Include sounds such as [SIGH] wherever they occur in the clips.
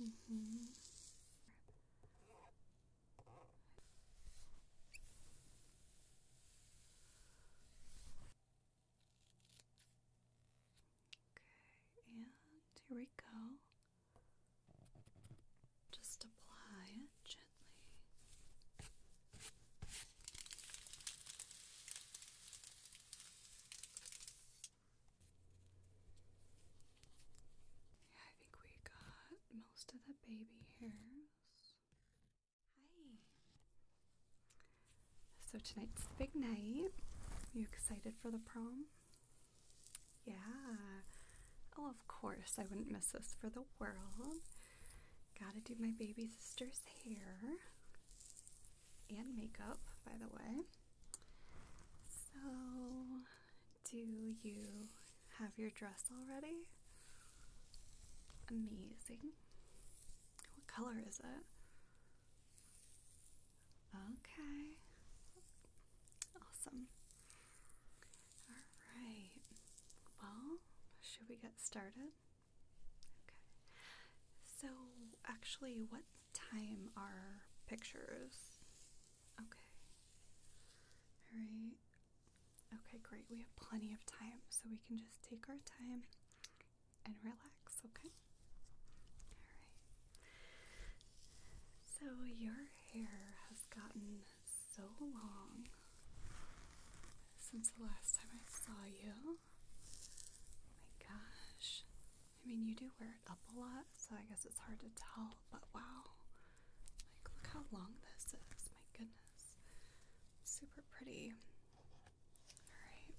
Mm-hmm. Okay, and here we go. Just apply it gently. I think we got most of the baby hairs. Hi. So tonight's the big night. you excited for the prom? Yeah. Oh, of course. I wouldn't miss this for the world. Gotta do my baby sister's hair and makeup, by the way. So, do you have your dress already? Amazing. What color is it? Okay. Awesome. All right. Well, should we get started? Okay. So, actually, what time our pictures. Okay. All right. Okay, great. We have plenty of time, so we can just take our time and relax, okay? All right. So, your hair has gotten so long since the last time I saw you. Oh my gosh. I mean, you do wear it up a lot, so I guess it's hard to tell, but wow. Like, look how long this is. My goodness. Super pretty. Alright.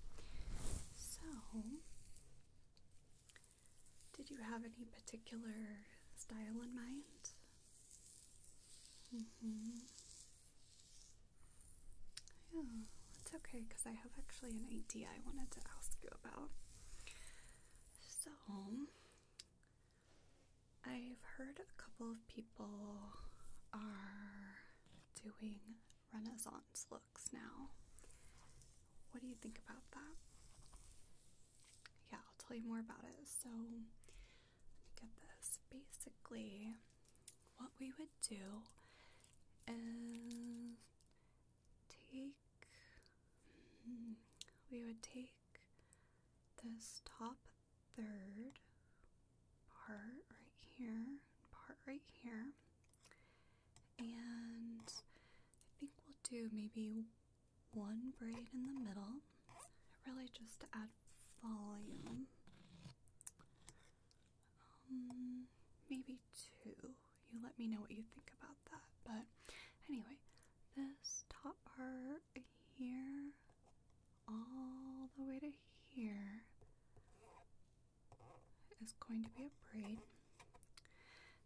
So, did you have any particular style in mind? Mm-hmm. Yeah, it's okay because I have actually an idea I wanted to ask you about. So, I've heard a couple of people are doing Renaissance looks now. What do you think about that? Yeah, I'll tell you more about it. So, let me get this. Basically, what we would do is take hmm, we would take this top third part right here, part right here, and I think we'll do maybe one braid in the middle, really just to add volume. Um, maybe two you let me know what you think about that. But anyway, this top part here, all the way to here, is going to be a braid.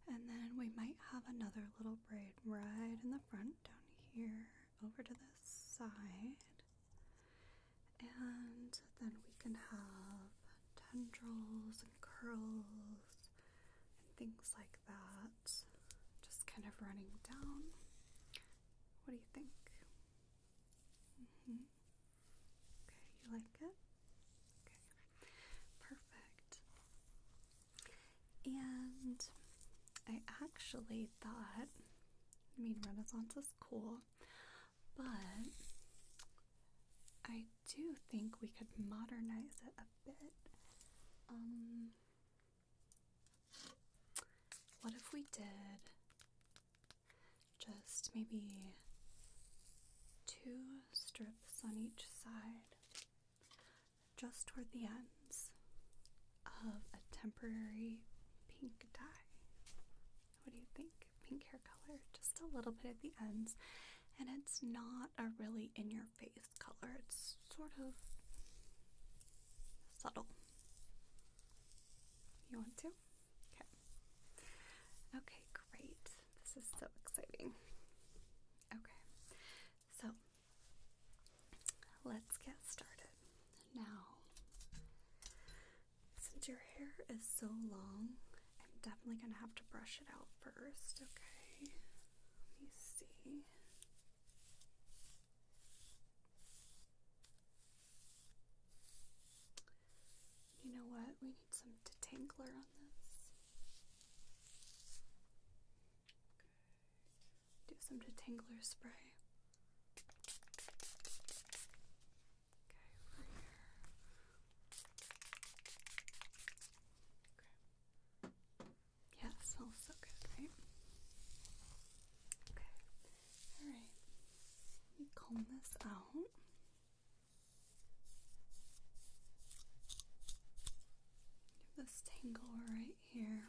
And then we might have another little braid right in the front down here over to this side. And then we can have tendrils and curls and things like that just kind of running down. What do you think? Mm-hmm. Okay, you like it? perfect. And I actually thought, I mean, Renaissance is cool. But I do think we could modernize it a bit. Um, what if we did just maybe two strips on each side, just toward the ends of a temporary pink dye? what do you think? Pink hair color, just a little bit at the ends. And it's not a really in your face color, it's sort of subtle. You want to? Okay. Okay, great. This is so exciting. Okay, so let's get started. Now, since your hair is so long, I'm definitely going to have to brush it out first, okay? Let me see. You know what? We need some detangler on this. Do some detangler spray. Okay, over here. Okay. Yeah, smells so good, right? Okay. Alright. Let me comb this out. this tangle right here.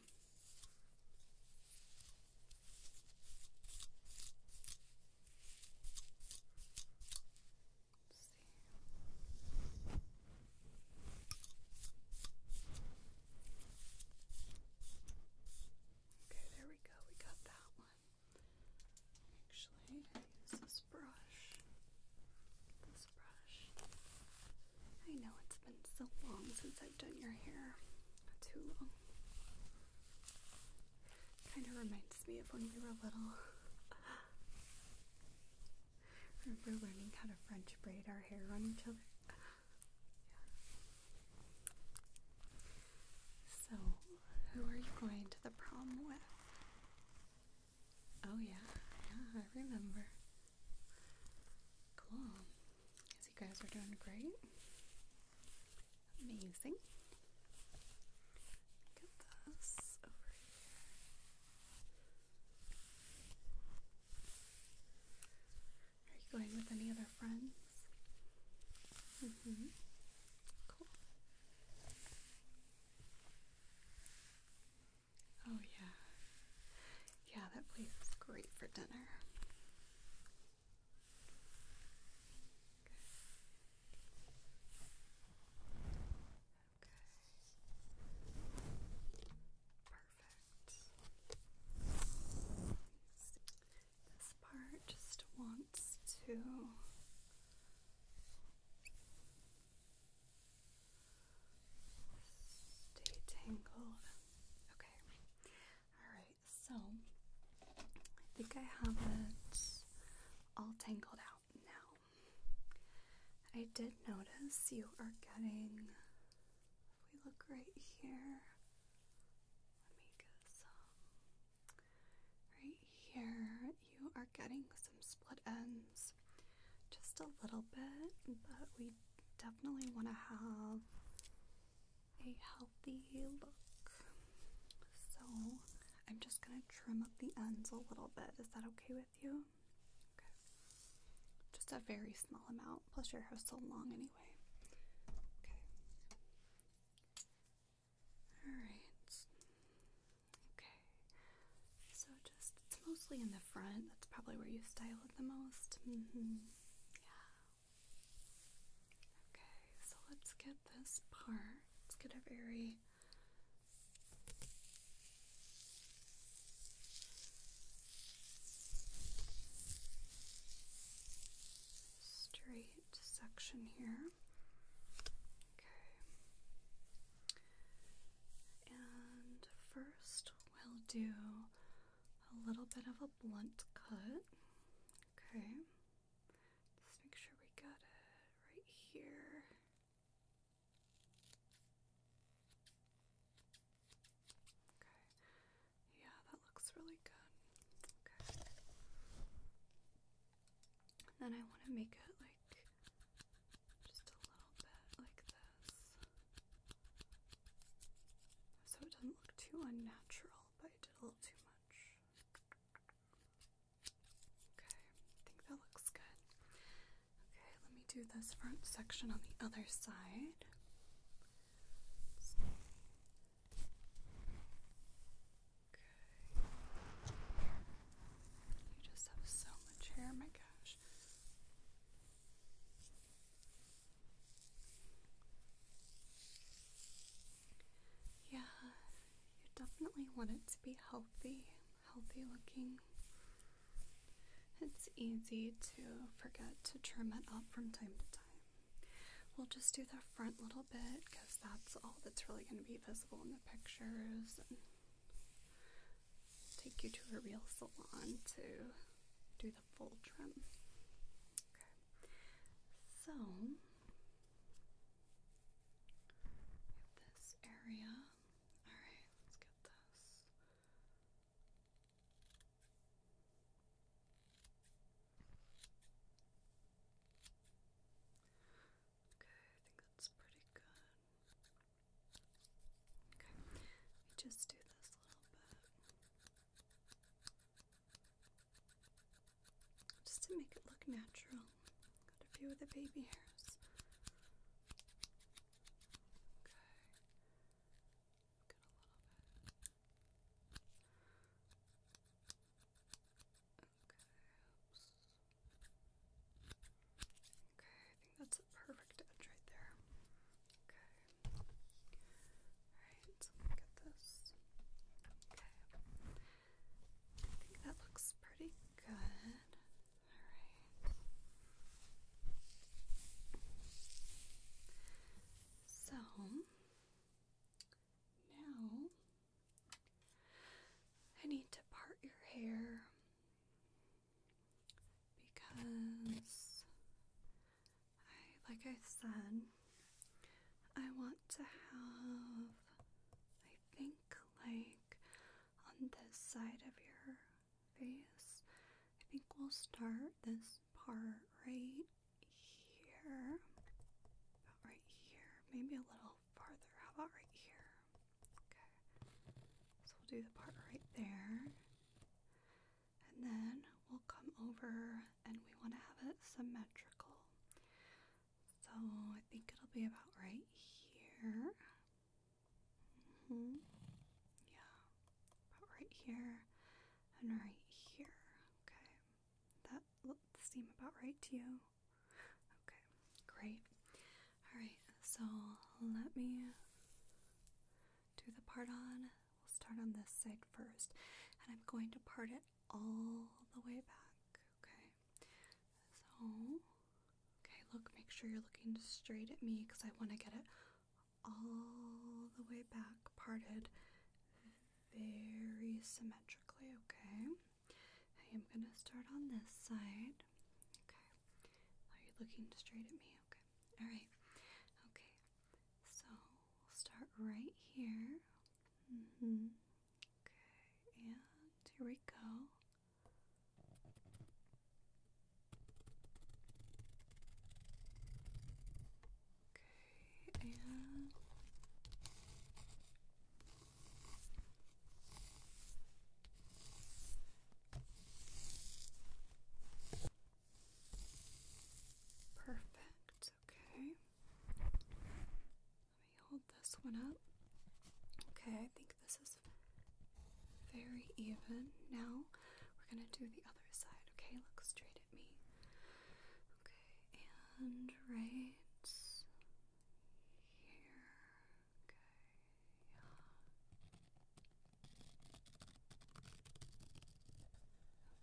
Okay, there we go. We got that one. Actually, I use this brush. This brush. I know it's been so long since I've done your hair. Too long. Kind of reminds me of when we were little. [LAUGHS] Remember learning how to French braid our hair on each other? So, who are you going to the prom with? Oh, yeah, yeah, I remember. Cool. you guys are doing great. Amazing. Get this Are you going with any other friends? Mm-hmm. Cool. Oh yeah. Yeah, that place is great for dinner. Perfect. This part just wants to stay tangled. Okay. Alright, so I think I have it all tangled out now. I did notice you are getting, we look right here, some. Right here, you are getting some split ends just a little bit, but we definitely want to have a help. The look. So I'm just gonna trim up the ends a little bit. Is that okay with you? Okay. Just a very small amount. Plus your hair's so long anyway. Okay. Alright. Okay. So just it's mostly in the front. That's probably where you style it the most. Mm-hmm. Yeah. Okay, so let's get this part. Let's get a very straight section here. Okay. And first we'll do a little bit of a blunt cut. Okay. Just make sure we got it right here. Okay. Yeah, that looks really good. Okay. then I want to make it like just a little bit like this. So it doesn't look too unnatural, but I did a little too much. Okay, I think that looks good. Okay, let me do this front section on the other side. Okay. You just have so much hair, my gosh. Yeah, you definitely want it to be healthy, healthy looking. It's easy to forget to trim it up from time to time. We'll just do the front little bit because that's all that's really going to be visible in the pictures. take you to a real salon to do the full trim. Okay, so we this area. Alright, let's get this. Okay, I think that's pretty good. Okay, let just do this little bit. Just to make it look natural. Got a few of the baby hairs. Okay. Okay. Okay, I think that's a perfect edge right there. Okay. Alright, get this. Okay. I think that looks pretty good. All right. So now I need to part your hair because like I said, I want to have, I think, like on this side of your face. I think we'll start this part right here. About right here. Maybe a little farther. How about right here? Okay. So we'll do the part right there. And then we'll come over and we want to have it symmetrical. So I think it'll be about right here. Mm hmm Yeah, about right here and right here. Okay, that seem about right to you. Okay, great. All right, so let me do the part on. We'll start on this side first, and I'm going to part it all the way back, okay? So, okay, look, make sure you're looking straight at me because I want to get it all the way back, parted very symmetrically, okay? I am going to start on this side, okay? Are you looking straight at me? Okay, all right, okay, so we'll start right here. Mm-hmm. Okay, and here we go. Okay, and Perfect, okay. Let me hold this one up. Okay, I think this is very even. Now we're going to do the other side. Okay, look straight at me. Okay, and right here. Okay, yeah.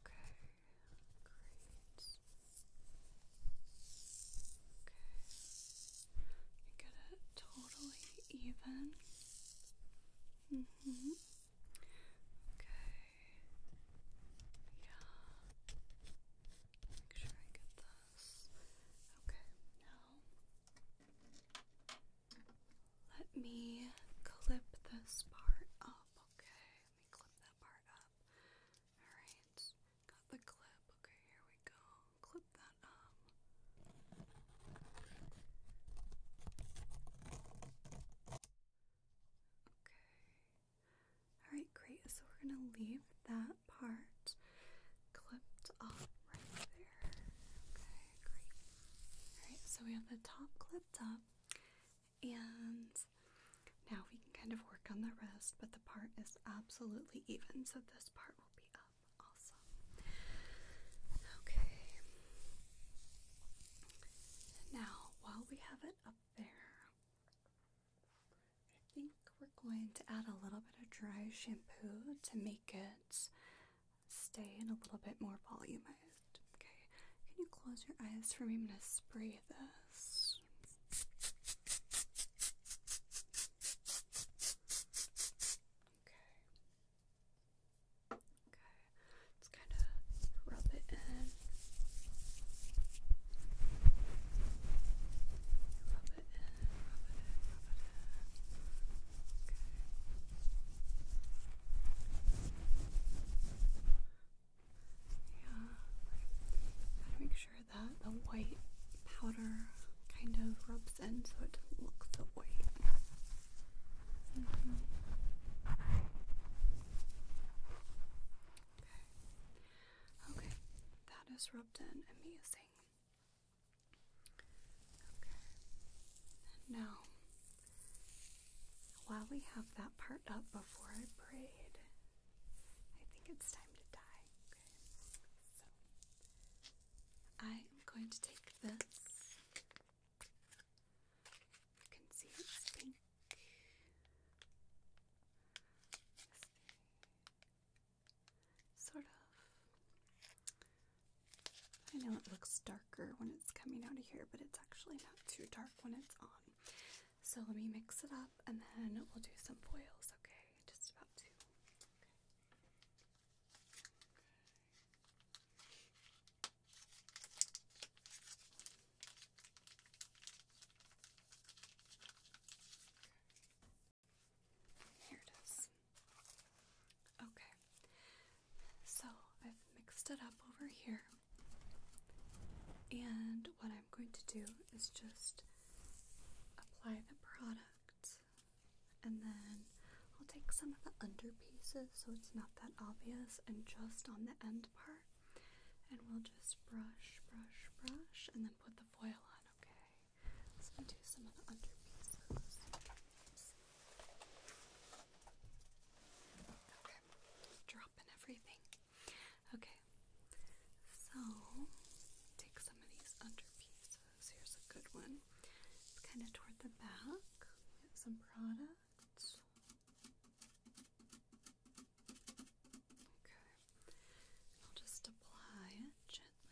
Okay, Great. Okay. You get it totally even. Okay. Yeah. Make sure I get this. Okay. Now. Let me clip this part up, okay? Let me clip that part up. Alright, got the clip. Okay, here we go. Clip that up. Okay. Alright, great. So we're going to leave that part clipped off right there. Okay, great. Alright, so we have the top clipped up. And now we can kind of work on the rest, but the part is absolutely even, so this part will be up. also. Okay. Now, while we have it up there, I think we're going to add a little bit of dry shampoo to make it stay and a little bit more volumized. Okay, can you close your eyes for me? I'm gonna spray this. Okay. Okay. Just kind of Rub it in, rub it in, rub it in. Okay. Yeah. Gotta make sure that the white powder kind of rubs in so it doesn't look so white. Mm-hmm. Okay. Okay. That is rubbed in. Amazing. Okay. now while we have that part up before I braid, I think it's time to dye. So I am going to take this. You can see it's pink. sort of. I know it looks darker when it's coming out of here, but it's actually not too dark when it's on. So let me mix it up and then we'll do some foils, okay? Just about two. Here it is. Okay. So mixed it up over here. And what I'm going to do is just apply the product and then I'll take some of the under pieces so it's not that obvious and just on the end part. And we'll just brush, brush, brush, and then put the foil on, okay? So we do some of the under pieces. Okay, dropping everything Okay, so take some of these under pieces. Here's a good one. It's kind of toward the back. We some products. Okay, I'll just apply it gently.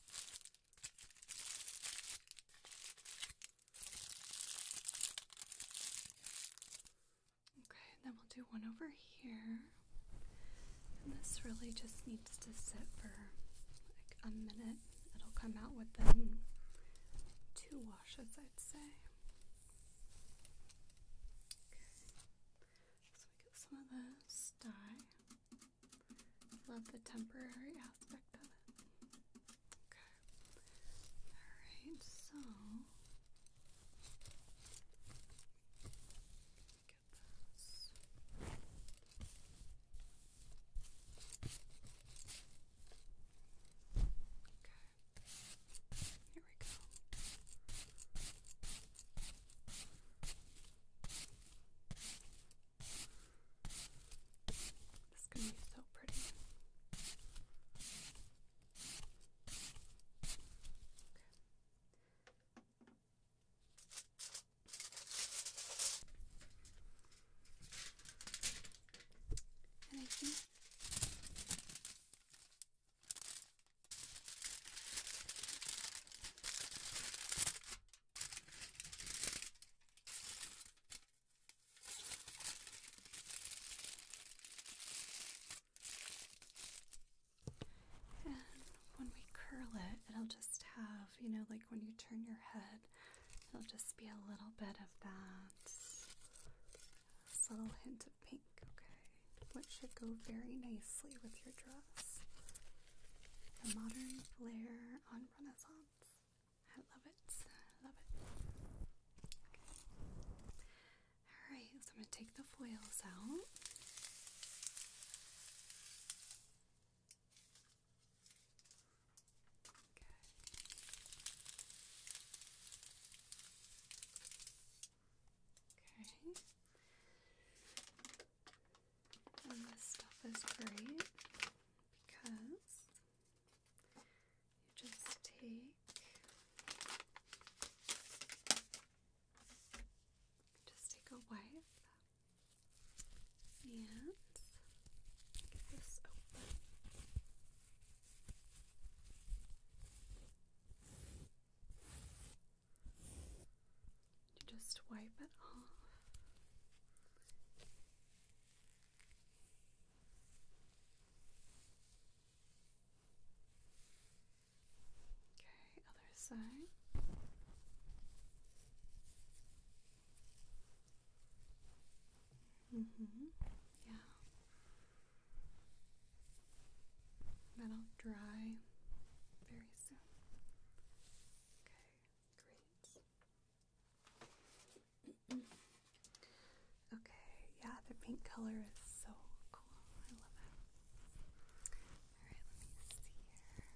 Okay, then we'll do one over here. And this really just needs to sit for like a minute. It'll come out within two washes, I'd say. Okay. get some of this dye. Love the temporary aspect of it. Okay. Alright, so get this. Okay. Here we go. This is going to be so pretty. Okay. And I think and when we curl it, it'll just have, you know, like when you turn your head, it'll just be a little bit of that subtle hint of pink, okay? Which should go very nicely with your dress. The modern flair on Renaissance. I love it. I love it. Alright, so I'm going to take the foils out. Okay. Okay. And this stuff is great because you just take just take a wipe and get this open just wipe it off. Okay, other side. Mhm. Mm yeah. That'll dry very soon. Okay, great. [CLEARS THROAT] okay, yeah, the pink color is so cool. I love it. Alright, let me see here.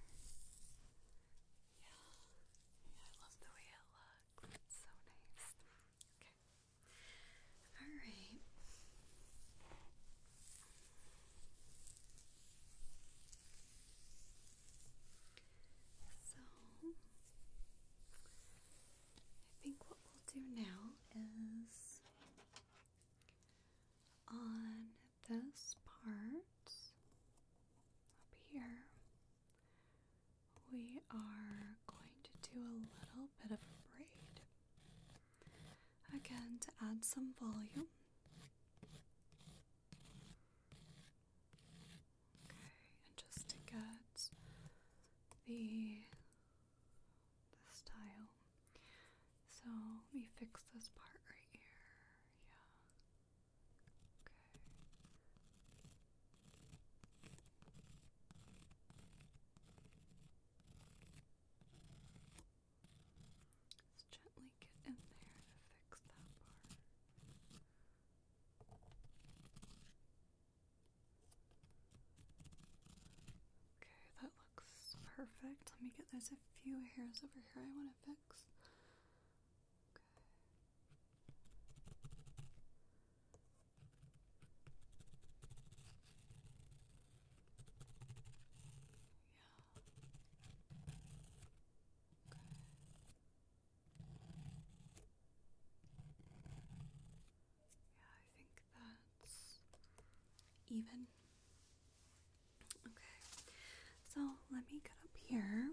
Yeah. I love the way it looks. so nice. Okay. Alright. So, I think what we'll do now is on this part up here, we are going to do a little bit of braid again to add some volume. Okay, and just to get the the style. So let me fix this part right here. Yeah. Okay. Let's gently get in there to fix that part. Okay, that looks perfect. Let me get there's a few hairs over here I want to fix. Okay. Yeah, yeah, I think that's even. Okay, so let me get up here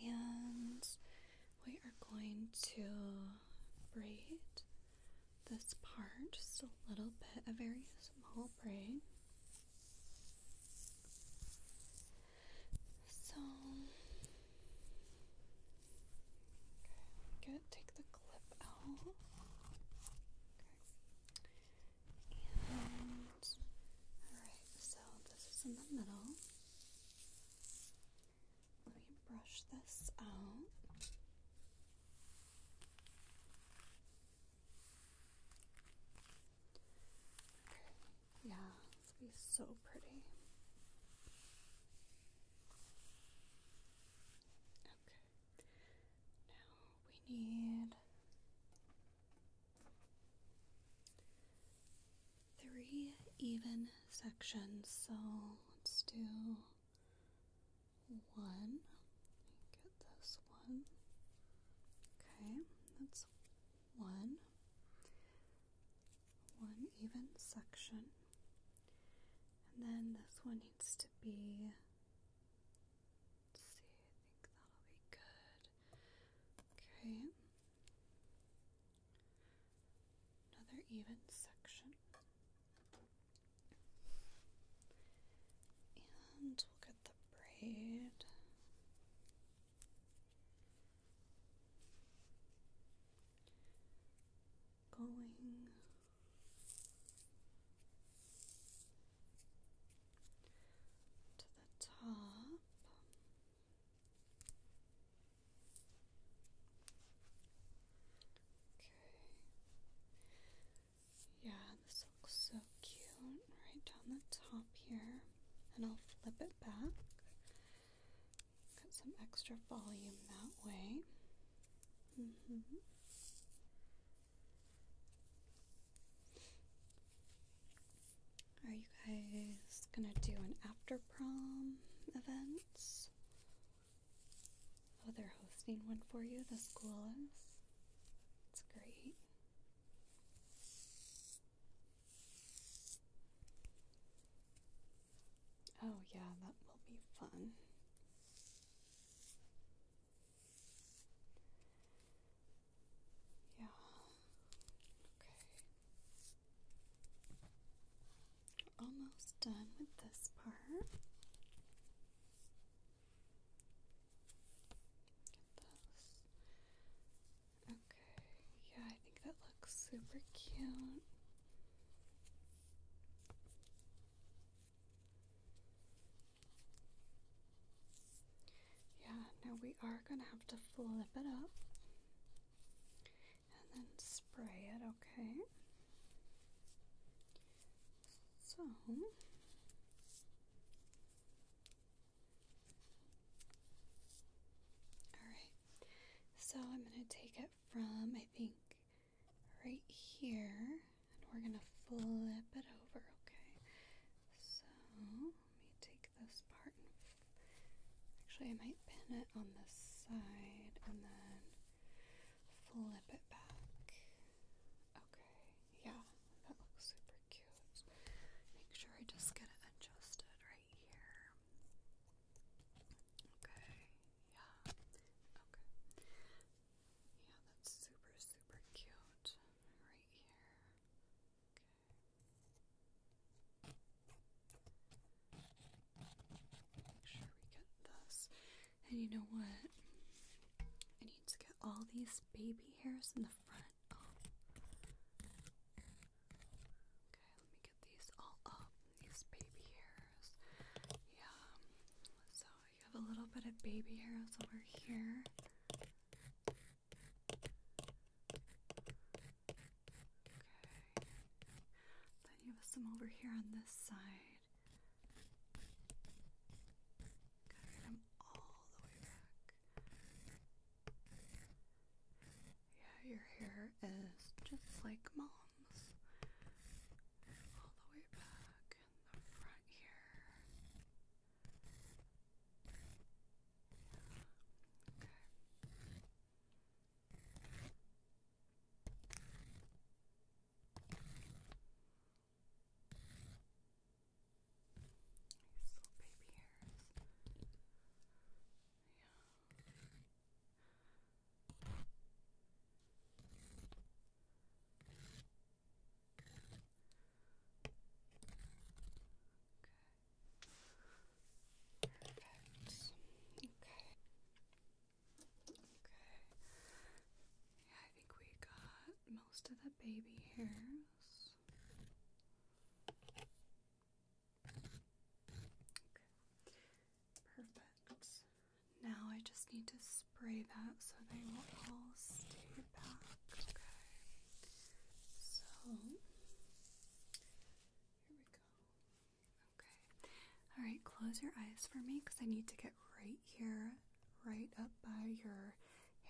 and we are going to braid this part, just a little bit, a very small braid. So, okay, good. Take the clip out. And all right. So this is in the middle. Let me brush this out. Yeah, it's going be so pretty. Okay. Now we need three even sections. So let's do one. Get this one. Okay, that's one. One even section. And then this one needs to be. see, I think that'll be good. Okay. Another even section. And we'll get the braid. Going to the top. Okay. Yeah, this looks so cute right down the top here. And I'll flip it back. Got some extra volume that way. Mm-hmm. Are you guys gonna do an after prom event? Oh, they're hosting one for you, the school is. It's great. Oh, yeah, that will be fun. Yeah. Okay. Almost done with this part. Okay, yeah, I think that looks super cute. Yeah, now we are gonna have to flip it up and then spray it, okay? So Alright, so I'm going to take it from, I think, right here, and we're going to flip it over, okay? So, let me take this part. Actually, I might pin it on this side and then flip it back. Okay, yeah, that looks super cute. Make sure I just get it adjusted right here. Okay, yeah, okay. Yeah, that's super, super cute right here. Okay. Make sure we get this. And you know what? I need to get all these baby hairs in the front Okay, let me get these all up. These baby hairs. Yeah. So you have a little bit of baby hairs over here. Okay. Then you have some over here on this side. Cover them all the way back. Yeah, your hair is just like mom's. All the way back in the front here. Okay. These little Okay. Perfect. Okay. Okay. Yeah, I think we got most of the baby hairs. Okay. Perfect. Now I just need to spray that so they will all stay back. Okay. So here we go. Okay. All right, close your eyes for me because I need to get right here right up by your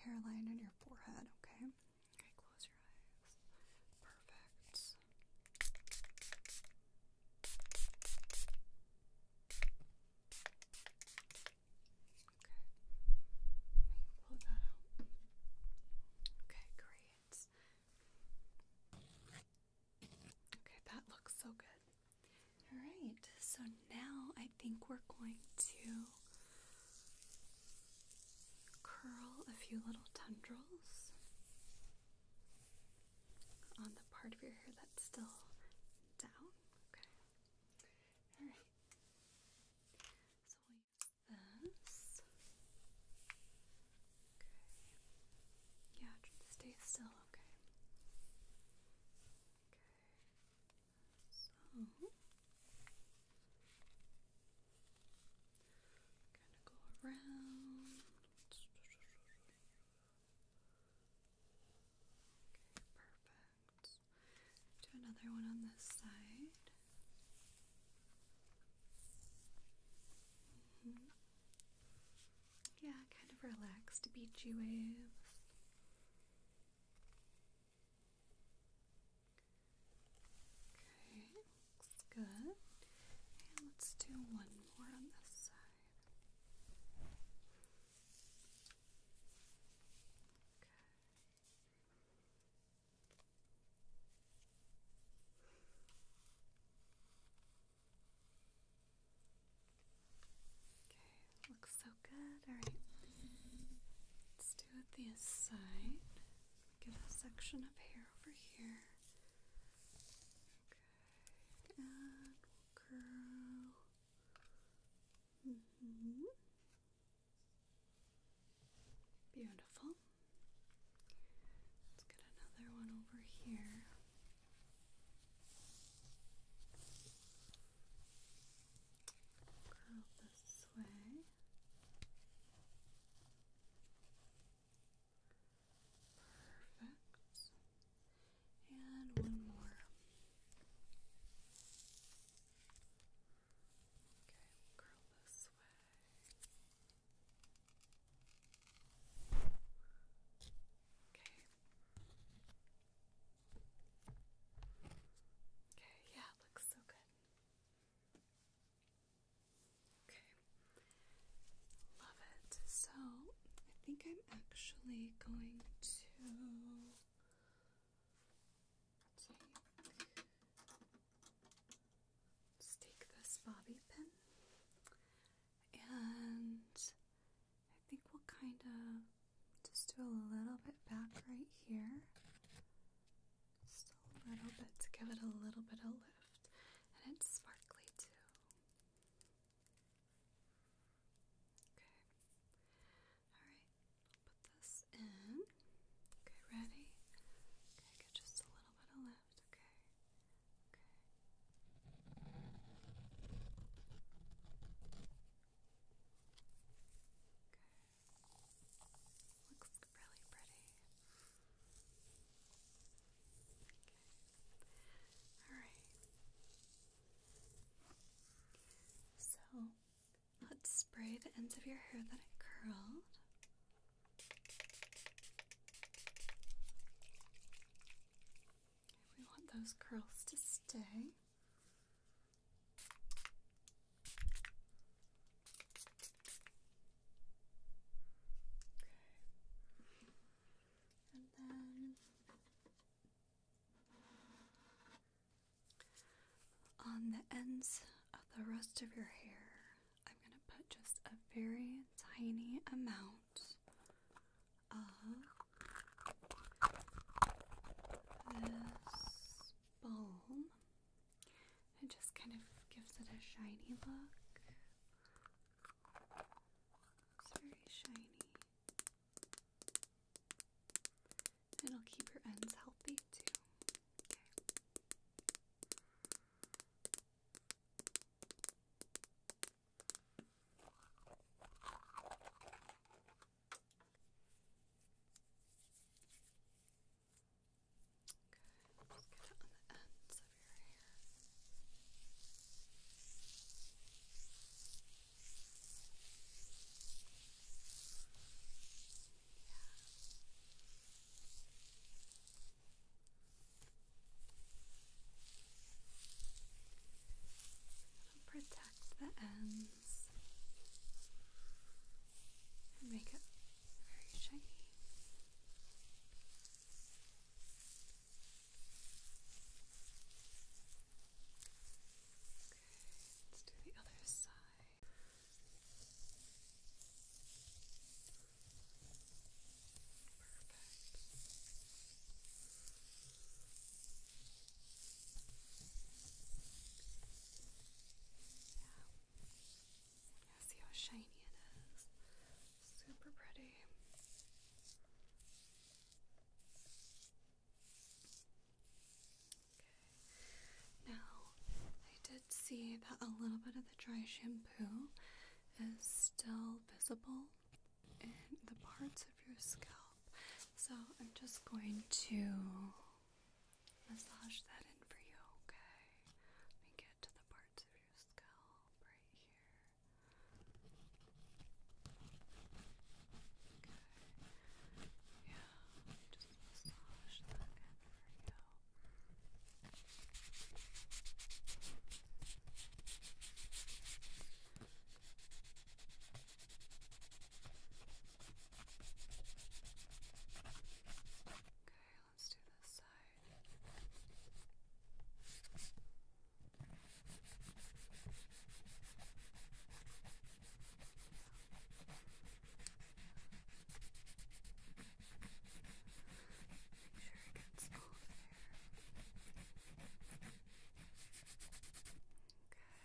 hairline and your forehead, okay? Okay, close your eyes. Perfect. Okay. great. Okay, that looks so good. All right, so now I think we're going to curl a few little tendrils on the part of your hair that's still down. Okay. All right. So we'll use this. Okay. Yeah, stay still. Okay. Okay. So gonna go around. Okay, perfect. Do another one on this side. Mm-hmm yeah, kind of relaxed beachy waves. Okay, looks good. And let's do one more on this side. Okay. Okay, looks so good. Alright, let's do it the side. Get a section of hair over here. Okay, and curl. Mm-hmm. Beautiful. Let's get another one over here. Curl this way. Perfect. And one more. Okay, curl this way. Okay, Okay, yeah, looks so good. Okay. Love it. So, I think I'm actually going to take just take this bobby pin and I think we'll kind of just do a little bit back right here. Just a little bit to give it a little bit of lift. And it's sparkly too. Okay. Alright, put this in. Okay, ready? Okay, get just a little bit of lift. Okay. Okay. Okay. Looks really pretty. Okay. All right. So let's spray the ends of your hair that I curled. We want those curls to stay. Okay. And then on the ends of the rest of your hair, I'm going to put just a very tiny amount sounds uh, this balm. It just kind of gives it a shiny look. It's very shiny. It'll keep your ends healthy too. Good. Just get it on the ends of your hair. Yeah. Protect the ends and make it very shiny. Okay, let's do the other side. Yeah. See how shiny it is. Super pretty. Okay. Now, I did see that a little bit of the dry shampoo is still visible in the parts of your scalp. So I'm just going to massage that in for you, okay? Let me get to the parts of your scalp right here. Okay. Yeah, just massage that in for you. Okay, let's do this side make sure it gets all Okay. Perfect. Just a little bit more. Okay.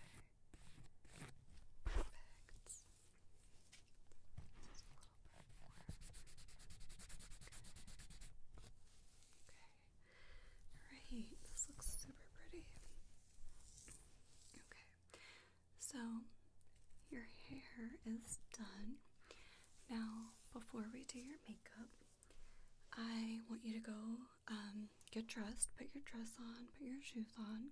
Okay. this looks super pretty. Okay. So your hair is done. Now, before we do your makeup, I want you to go um, get dressed, put your dress on, put your shoes on,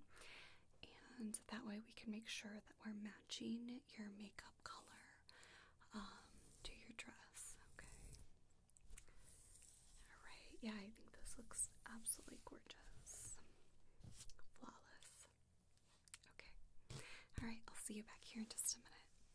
and that way we can make sure that we're matching your makeup color um, to your dress. Okay. All right. Yeah, I think this looks absolutely gorgeous. Flawless. Okay. All right. I'll see you back here in just a minute.